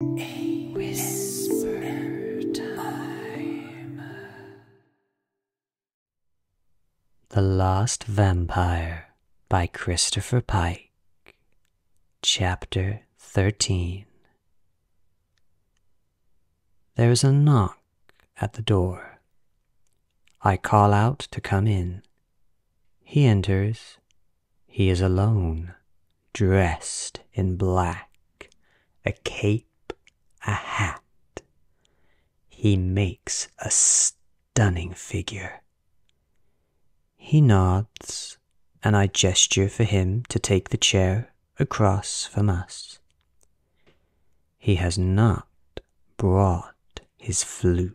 The Last Vampire by Christopher Pike, Chapter 13. There is a knock at the door. I call out to come in. He enters. He is alone dressed in black, a cape, a hat. He makes a stunning figure. He nods, and I gesture for him to take the chair across from us. He has not brought his flute.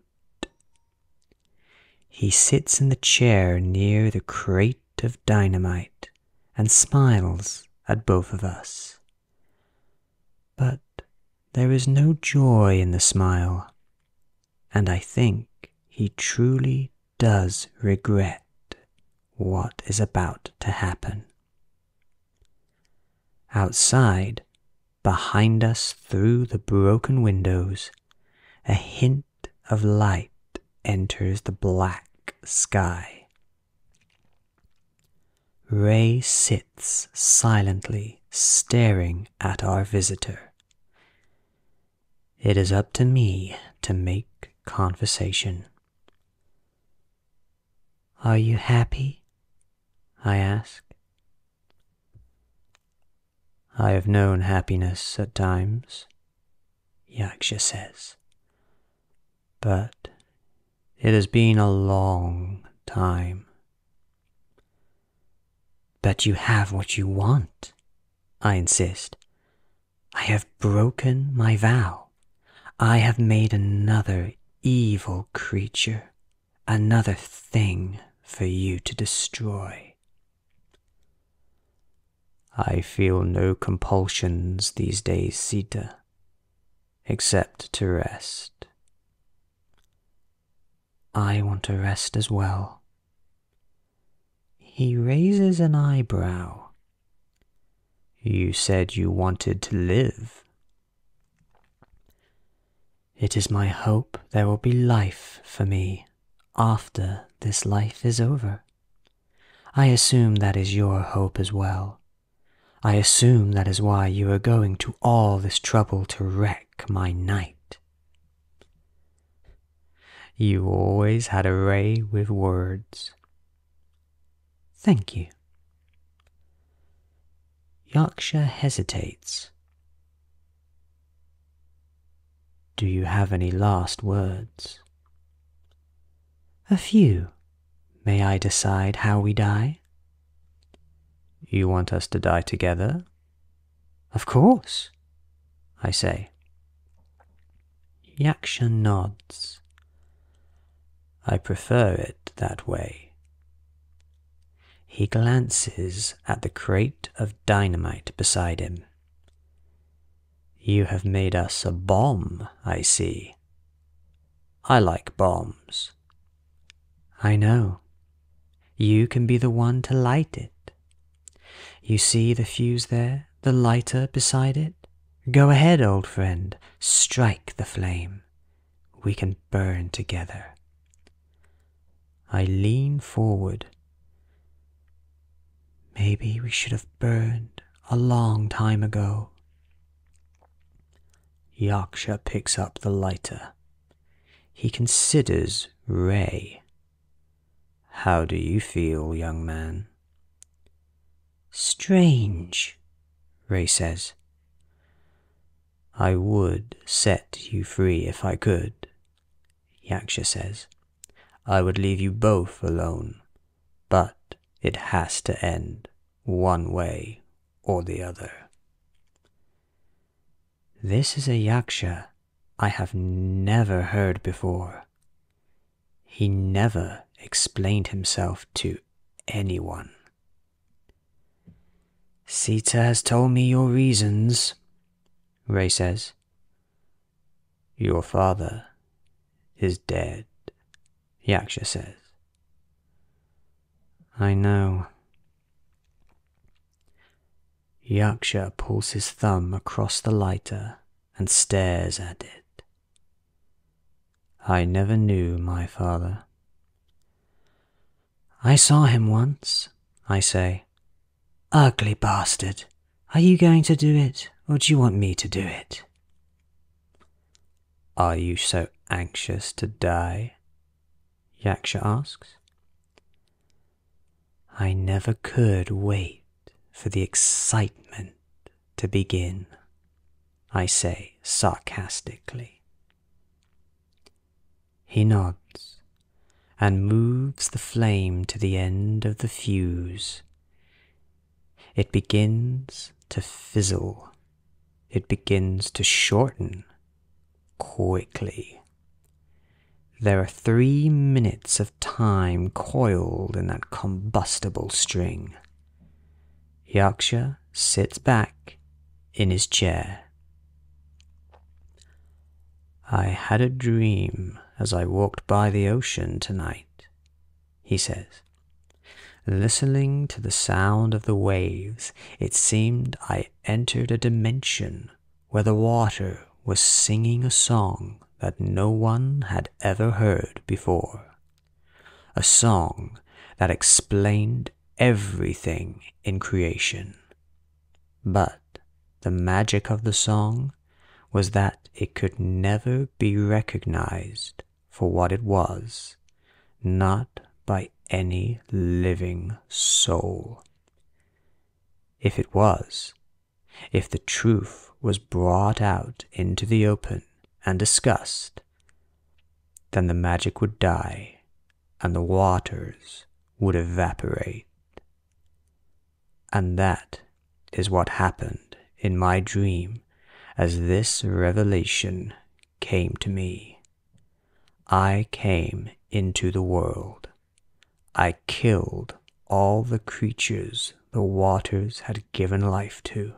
He sits in the chair near the crate of dynamite and smiles at both of us. But there is no joy in the smile, and I think he truly does regret what is about to happen. Outside, behind us through the broken windows, a hint of light enters the black sky. Ray sits silently staring at our visitor. It is up to me to make conversation. Are you happy? I ask. I have known happiness at times, Yaksha says, but it has been a long time. But you have what you want, I insist. I have broken my vow. I have made another evil creature, another thing for you to destroy. I feel no compulsions these days, Sita, except to rest. I want to rest as well. He raises an eyebrow. You said you wanted to live. It is my hope there will be life for me after this life is over. I assume that is your hope as well. I assume that is why you are going to all this trouble to wreck my night. You always had a ray with words. Thank you. Yorkshire hesitates, do you have any last words? A few. May I decide how we die? You want us to die together? Of course, I say. Yaksha nods. I prefer it that way. He glances at the crate of dynamite beside him. You have made us a bomb, I see. I like bombs. I know. You can be the one to light it. You see the fuse there, the lighter beside it? Go ahead, old friend, strike the flame. We can burn together. I lean forward. Maybe we should have burned a long time ago. Yorkshire picks up the lighter. He considers Ray. How do you feel, young man? Strange, Ray says. I would set you free if I could, Yaksha says, I would leave you both alone, but it has to end one way or the other. This is a Yaksha I have never heard before. He never explained himself to anyone. Sita has told me your reasons, Ray says. Your father is dead, Yaksha says. I know. Yaksha pulls his thumb across the lighter and stares at it. I never knew my father. I saw him once, I say. Ugly bastard. Are you going to do it, or do you want me to do it? Are you so anxious to die? Yaksha asks. I never could wait for the excitement to begin, I say sarcastically. He nods and moves the flame to the end of the fuse. It begins to fizzle. It begins to shorten quickly. There are three minutes of time coiled in that combustible string. Yaksha sits back in his chair. I had a dream as I walked by the ocean tonight, he says. Listening to the sound of the waves, it seemed I entered a dimension where the water was singing a song that no one had ever heard before. A song that explained everything in creation but the magic of the song was that it could never be recognized for what it was, not by any living soul. If it was, if the truth was brought out into the open and discussed, then the magic would die and the waters would evaporate. And that is what happened in my dream as this revelation came to me. I came into the world. I killed all the creatures the waters had given life to.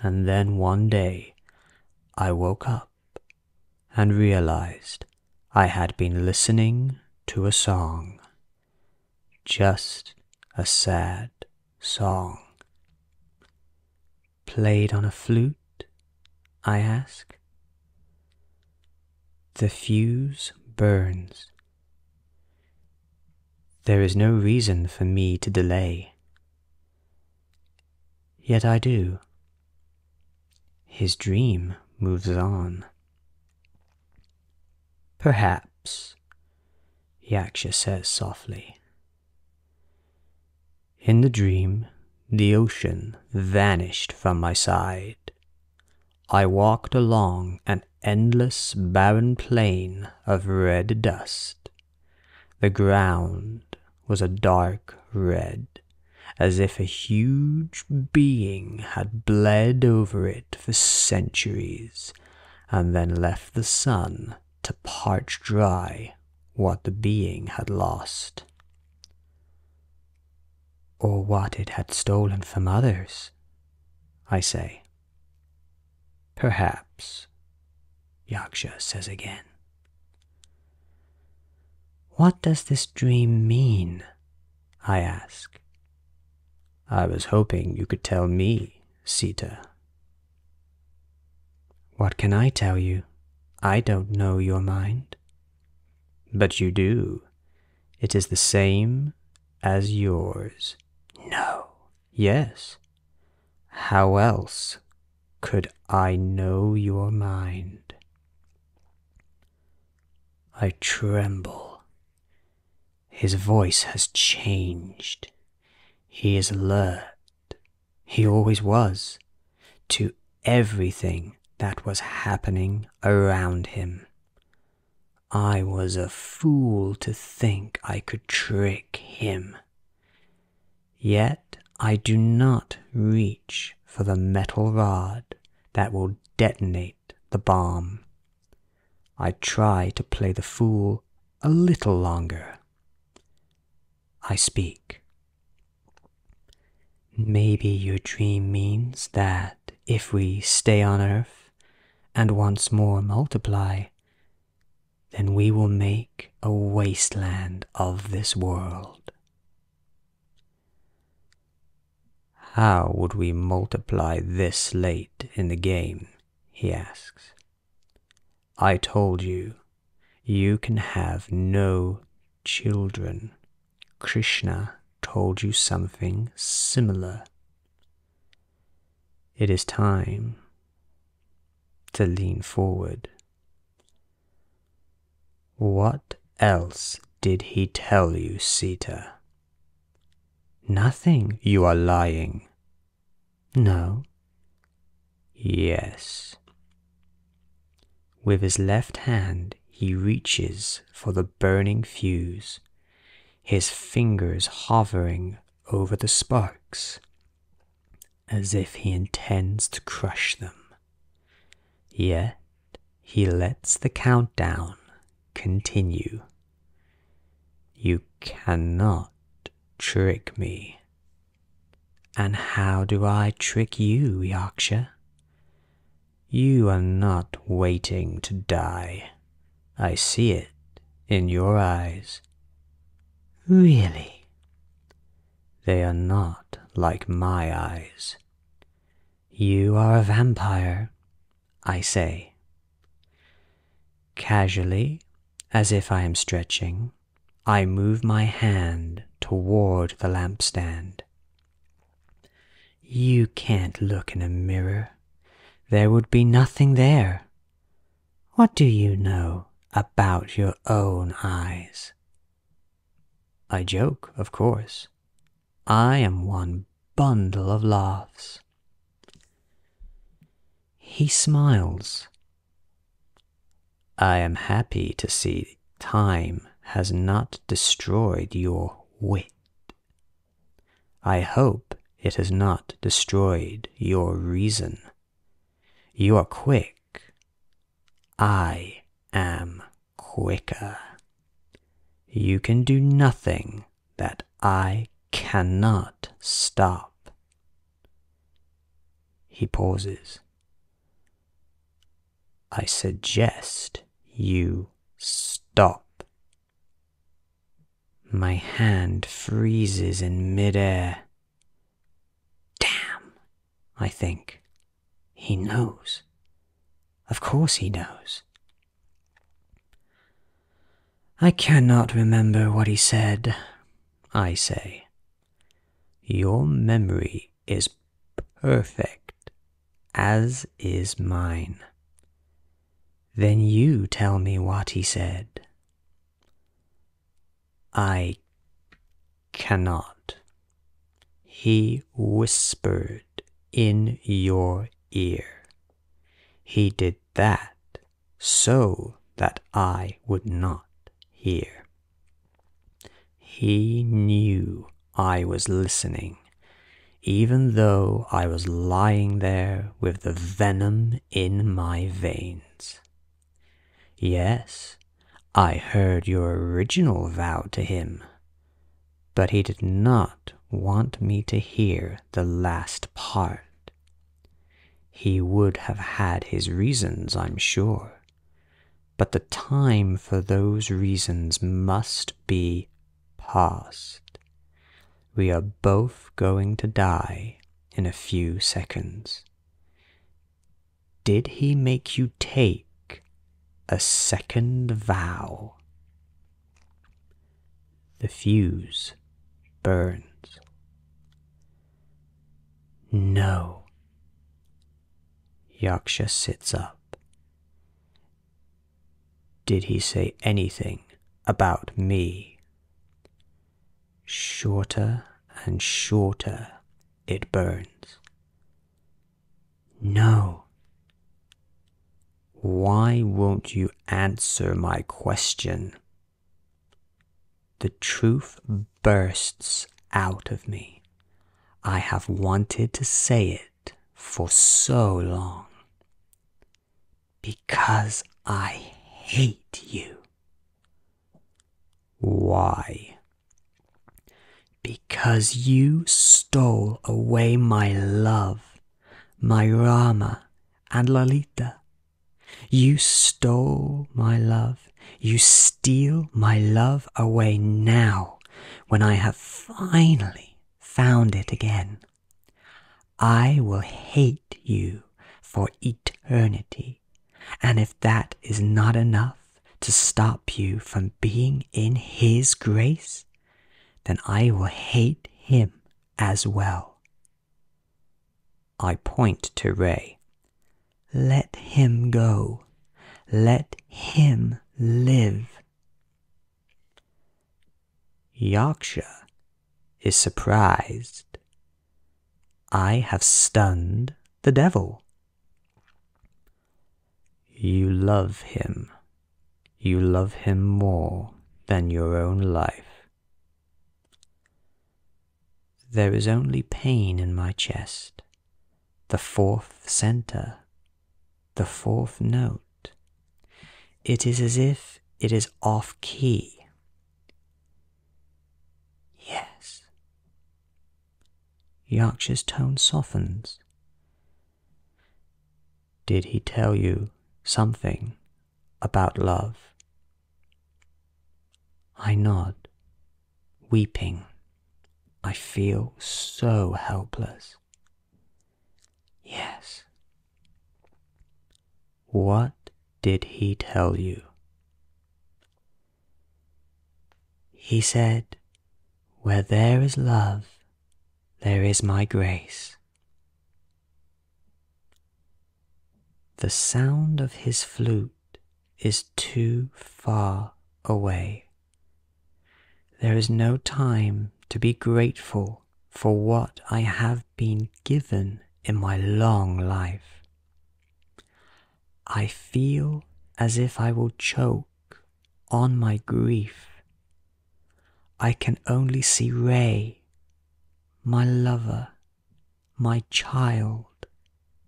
And then one day I woke up and realized I had been listening to a song, just a sad song. Played on a flute? I ask. The fuse burns. There is no reason for me to delay. Yet I do. His dream moves on. Perhaps, Yaksha says softly. In the dream, the ocean vanished from my side. I walked along an endless barren plain of red dust. The ground was a dark red, as if a huge being had bled over it for centuries and then left the sun to parch dry what the being had lost. Or what it had stolen from others, I say. Perhaps, Yaksha says again. What does this dream mean? I ask. I was hoping you could tell me, Sita. What can I tell you? I don't know your mind. But you do. It is the same as yours. No. Yes. How else could I know your mind? I tremble. His voice has changed. He is alert. He always was to everything that was happening around him. I was a fool to think I could trick him. Yet I do not reach for the metal rod that will detonate the bomb. I try to play the fool a little longer. I speak. Maybe your dream means that if we stay on Earth and once more multiply, then we will make a wasteland of this world. How would we multiply this late in the game? he asks. I told you, you can have no children. Krishna told you something similar. It is time to lean forward. What else did he tell you, Sita? Nothing. You are lying. No. Yes. With his left hand, he reaches for the burning fuse, his fingers hovering over the sparks as if he intends to crush them. Yet he lets the countdown continue. You cannot trick me. And how do I trick you, Yorkshire? You are not waiting to die. I see it in your eyes. Really? They are not like my eyes. You are a vampire, I say. Casually, as if I am stretching, I move my hand toward the lampstand. You can't look in a mirror. There would be nothing there. What do you know about your own eyes? I joke, of course. I am one bundle of laughs. He smiles. I am happy to see time has not destroyed your wit. I hope it has not destroyed your reason. You are quick I am quicker. You can do nothing that I cannot stop. He pauses. I suggest you stop. My hand freezes in midair Damn, I think. He knows. Of course he knows. I cannot remember what he said, I say. Your memory is perfect, as is mine. Then you tell me what he said, I cannot. He whispered in your ear. He did that so that I would not hear. He knew I was listening, even though I was lying there with the venom in my veins. Yes, I heard your original vow to him, but he did not want me to hear the last part. He would have had his reasons, I'm sure, but the time for those reasons must be past. We are both going to die in a few seconds. Did he make you take a second vow? The fuse burns. No. Yaksha sits up. Did he say anything about me? Shorter and shorter it burns. No. Why won't you answer my question? The truth bursts out of me. I have wanted to say it for so long. Because I hate you. Why? Because you stole away my love, my Rama and Lalita. You stole my love. You steal my love away now, when I have finally found it again. I will hate you for eternity. And if that is not enough to stop you from being in His grace, then I will hate him as well. I point to Ray. Let him go. Let him live. Yaksha is surprised. I have stunned the devil. You love him. You love him more than your own life. There is only pain in my chest, the fourth centre, the fourth note. It is as if it is off key. Yes. Yorkshire's tone softens. Did he tell you something about love? I nod, weeping. I feel so helpless. Yes, what did he tell you? He said, Where there is love, there is my grace. The sound of his flute is too far away. There is no time to be grateful for what I have been given in my long life. I feel as if I will choke on my grief. I can only see Ray, my lover, my child,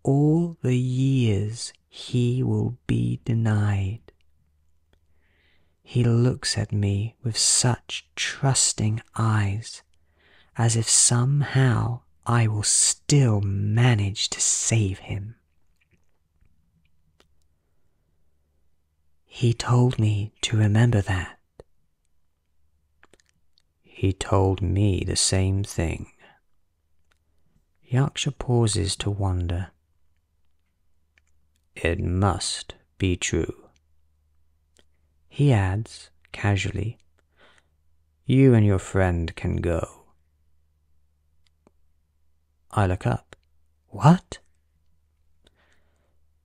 all the years he will be denied. He looks at me with such trusting eyes, as if somehow I will still manage to save him. He told me to remember that. He told me the same thing. Yaksha pauses to wonder. It must be true. He adds, casually, You and your friend can go. I look up. What?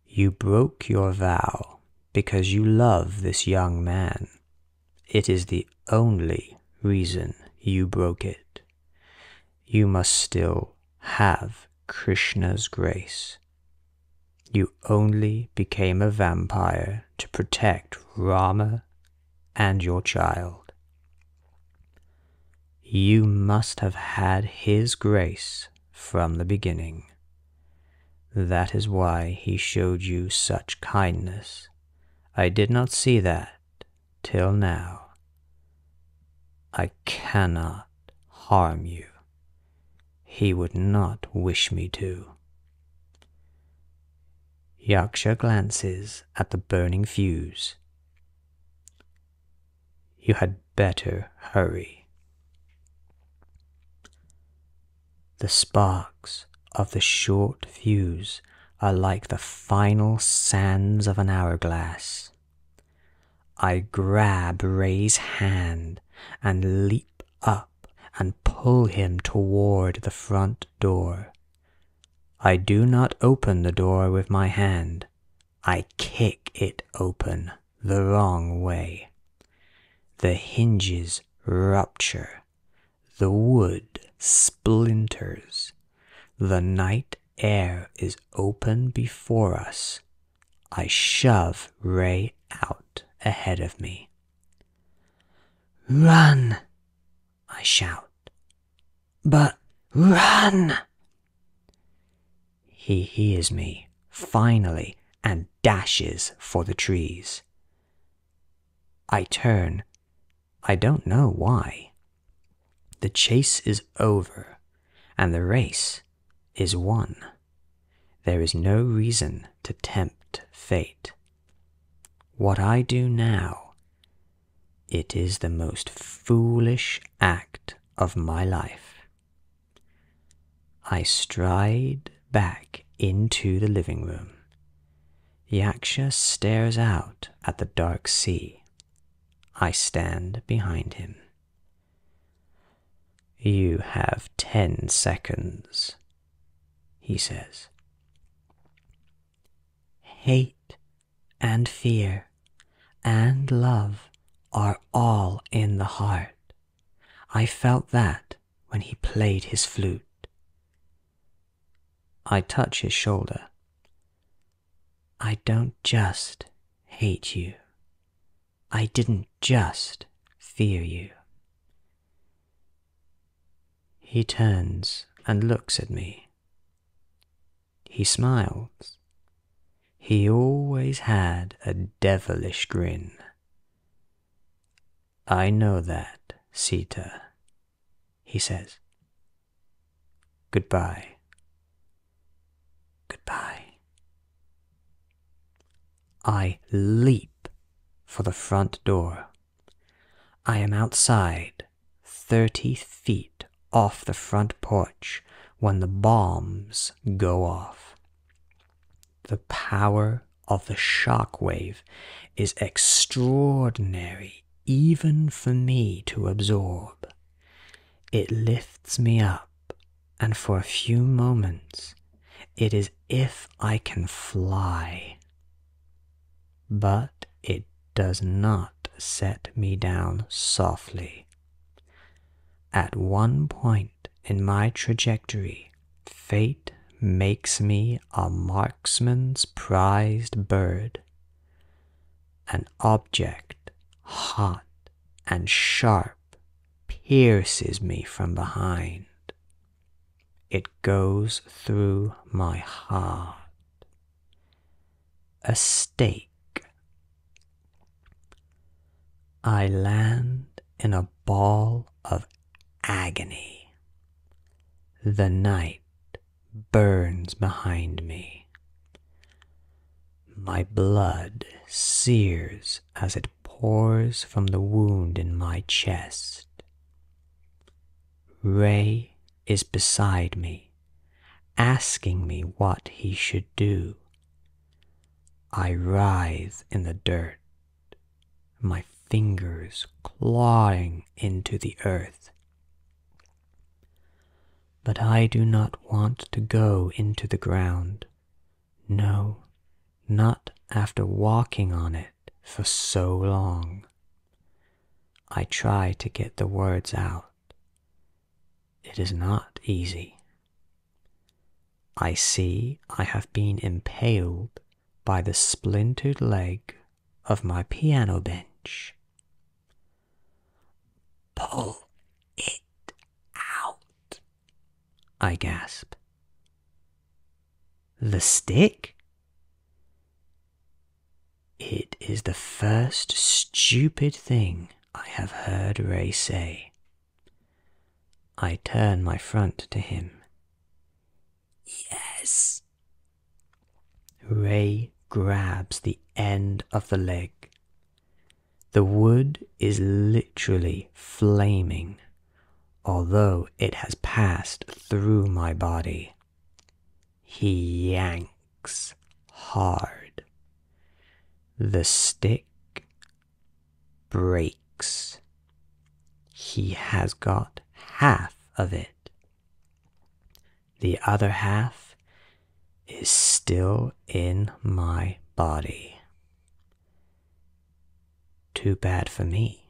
You broke your vow because you love this young man. It is the only reason you broke it. You must still have Krishna's grace. You only became a vampire to protect Rama and your child. You must have had his grace from the beginning. That is why he showed you such kindness. I did not see that till now. I cannot harm you. He would not wish me to. Yaksha glances at the burning fuse. You had better hurry. The sparks of the short fuse are like the final sands of an hourglass. I grab Ray's hand and leap up and pull him toward the front door. I do not open the door with my hand. I kick it open the wrong way. The hinges rupture. The wood splinters. The night air is open before us I shove Ray out ahead of me. Run! I shout. But run! He hears me, finally, and dashes for the trees. I turn. I don't know why. The chase is over, and the race is one. There is no reason to tempt fate. What I do now, it is the most foolish act of my life. I stride back into the living room. Yaksha stares out at the dark sea. I stand behind him. You have ten seconds, he says. Hate and fear and love are all in the heart. I felt that when he played his flute. I touch his shoulder. I don't just hate you. I didn't just fear you. He turns and looks at me. He smiles. He always had a devilish grin. I know that, Sita, he says. Goodbye. Goodbye. I leap for the front door. I am outside, thirty feet off the front porch, when the bombs go off. The power of the shock wave is extraordinary, even for me to absorb. It lifts me up and for a few moments it is if I can fly. But it does not set me down softly. At one point in my trajectory, fate makes me a marksman's prized bird, an object hot and sharp pierces me from behind. It goes through my heart. A stake. I land in a ball of agony. The night burns behind me. My blood sears as it pours from the wound in my chest. Ray is beside me, asking me what he should do. I writhe in the dirt, my fingers clawing into the earth but I do not want to go into the ground. No, not after walking on it for so long. I try to get the words out. It is not easy. I see I have been impaled by the splintered leg of my piano bench. Pull it out, I gasp. The stick? It is the first stupid thing I have heard Ray say. I turn my front to him. Yes. Ray grabs the end of the leg the wood is literally flaming, although it has passed through my body. He yanks hard. The stick breaks. He has got half of it. The other half is still in my body. Too bad for me.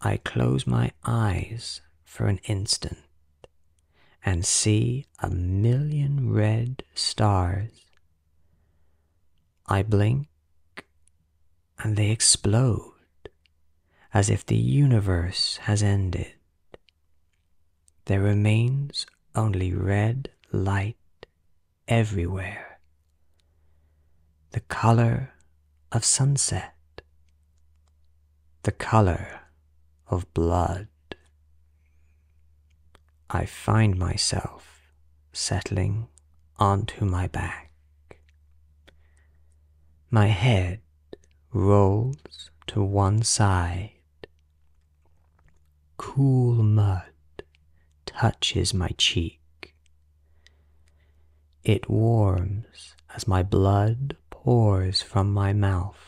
I close my eyes for an instant and see a million red stars. I blink and they explode as if the universe has ended there remains only red light everywhere, the color of sunset, the color of blood. I find myself settling onto my back. My head rolls to one side. Cool mud touches my cheek. It warms as my blood pours from my mouth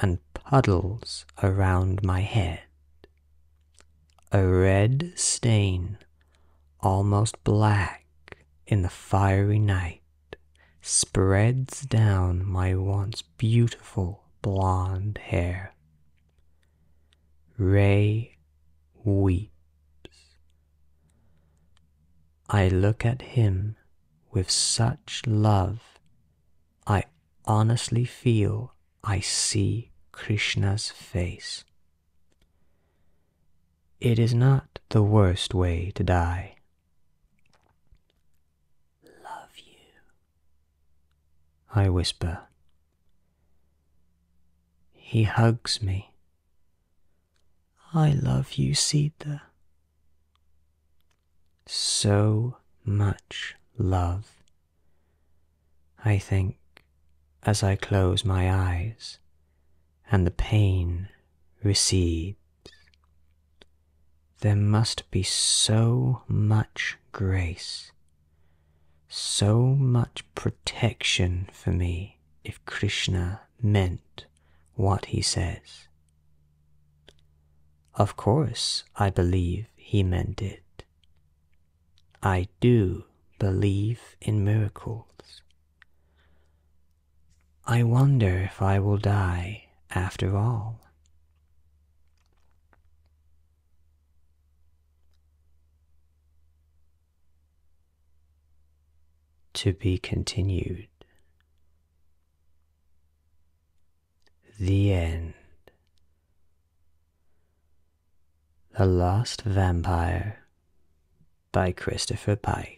and puddles around my head. A red stain, almost black in the fiery night spreads down my once beautiful blonde hair. Ray weeps. I look at him with such love, I honestly feel I see Krishna's face. It is not the worst way to die, Love you, I whisper. He hugs me. I love you, Sita. So much love, I think, as I close my eyes and the pain recedes. There must be so much grace, so much protection for me if Krishna meant what he says. Of course, I believe he meant it. I do believe in miracles. I wonder if I will die after all. To be continued. The end. The Lost Vampire by Christopher Pike.